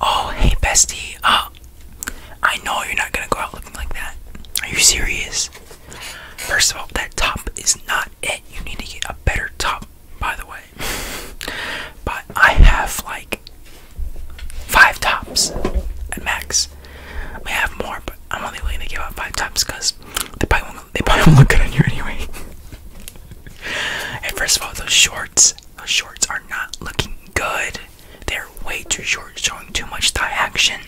Oh, hey, bestie. Uh, I know you're not gonna go out looking like that. Are you serious? First of all, that top is not it. You need to get a better top, by the way. But I have like five tops at max. I have more, but I'm only willing to give out five tops because They probably won't look good on you anyway and first of all, those shorts, those shorts are not looking good. They're way too short, showing too much thigh action.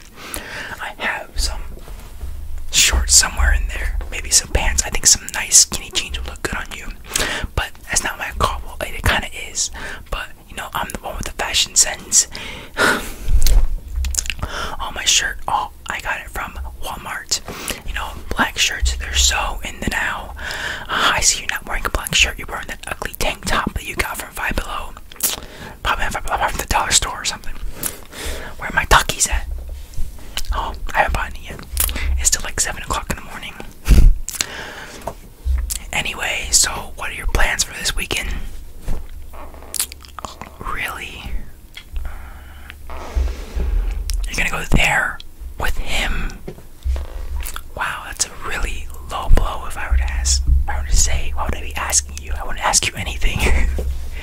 I have some shorts somewhere in there, maybe some pants. I think some nice skinny jeans would look good on you, but that's not my call. it kind of is, but you know, I'm the one with the fashion sense. Oh, my shirt, all I got it from Walmart. You know, black shirts, they're so in the now. Uh, I see you're not wearing a black shirt, you're wearing that ugly tank top that you got from Five Below. Probably from the dollar store or something. Where are my Takis at? Oh, I haven't bought any yet. It's still like 7 o'clock in the morning. anyway, so what are your plans for this weekend? Really? You're gonna go there with him? Wow, that's a really low blow. If I were to ask, if I were to say, why would I be asking you? I wouldn't ask you anything.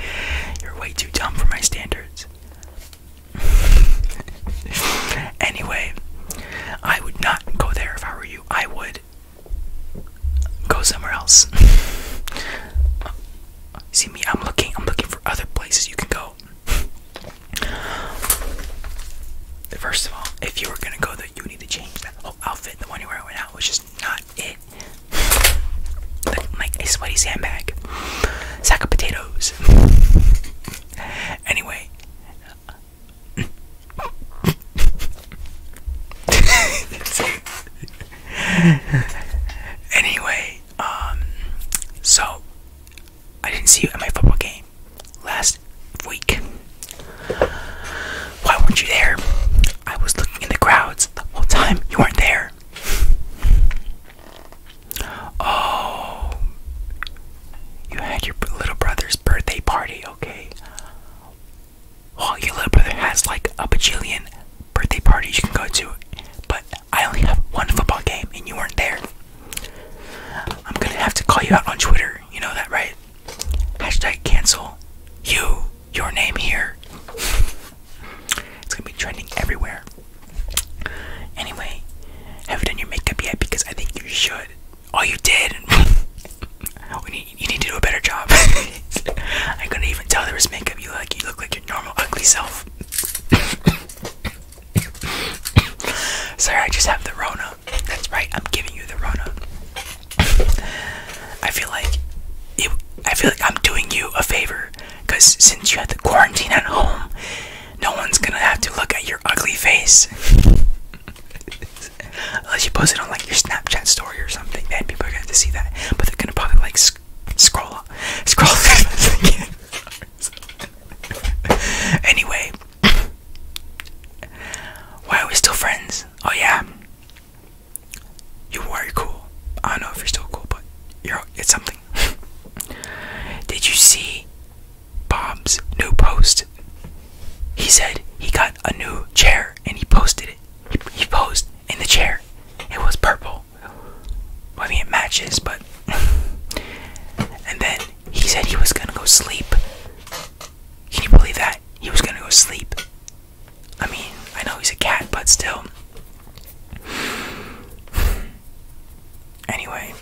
You're way too dumb for my standards. anyway, I would not go there if I were you. I would go somewhere else. See me, I'm looking, I'm looking for other places you can go. First of all, if you were gonna go there, you need to change that whole outfit. The one you're wearing right now was just not it. like a sweaty sandbag, sack of potatoes. anyway, anyway, um, so I didn't see you at my football game last week. Why weren't you there? I was looking in the crowds the whole time. You weren't there. Oh, you had your little brother's birthday party, okay? Well, your little brother has like a bajillion birthday parties you can go to, but I only have one football game and you weren't there. I'm gonna have to call you out on Twitter, you know that, right? Hashtag cancel you, your name here. It's gonna be trending everywhere. Anyway, have done your makeup yet? Because I think you should. Oh, you did. Oh, you need to do a better job. I couldn't even tell there was makeup. You look like your normal ugly self. Sorry, I just have the Rona. That's right. I'm giving you the Rona. I feel like it, I feel like I'm doing you a favor because since you had to quarantine at home, no one's gonna have to look at your ugly face. Unless you post it on like your Snapchat story or something, then people are gonna have to see that. But they're gonna probably like sc scroll up. Scroll Anyway. Why are we still friends? Oh yeah. You were cool. I don't know if you're still cool, but you're it's something. Did you see Bob's new post? He said he got a new chair and he posted it. He posed in the chair. It was purple. I mean, it matches, but. and then he said he was gonna go sleep. Can you believe that? He was gonna go sleep I mean, I know he's a cat, but still. Anyway,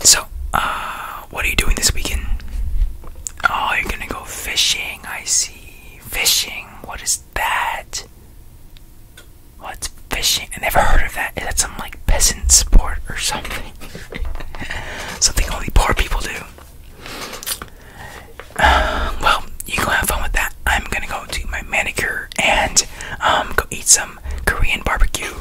so uh, what are you doing this weekend? Oh, you're gonna go fishing. I see. Fishing. What is that? What's fishing? I never heard of that. Is that some like peasant sport or something? something only poor people do. well, you go have fun with that. I'm gonna go do my manicure and um, go eat some Korean barbecue,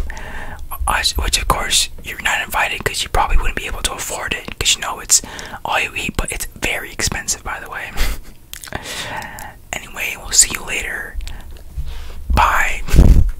which of course you're not invited because you probably wouldn't be able to afford it because you know it's all you eat, but it's very expensive, by the way. anyway, we'll see you later. Bye.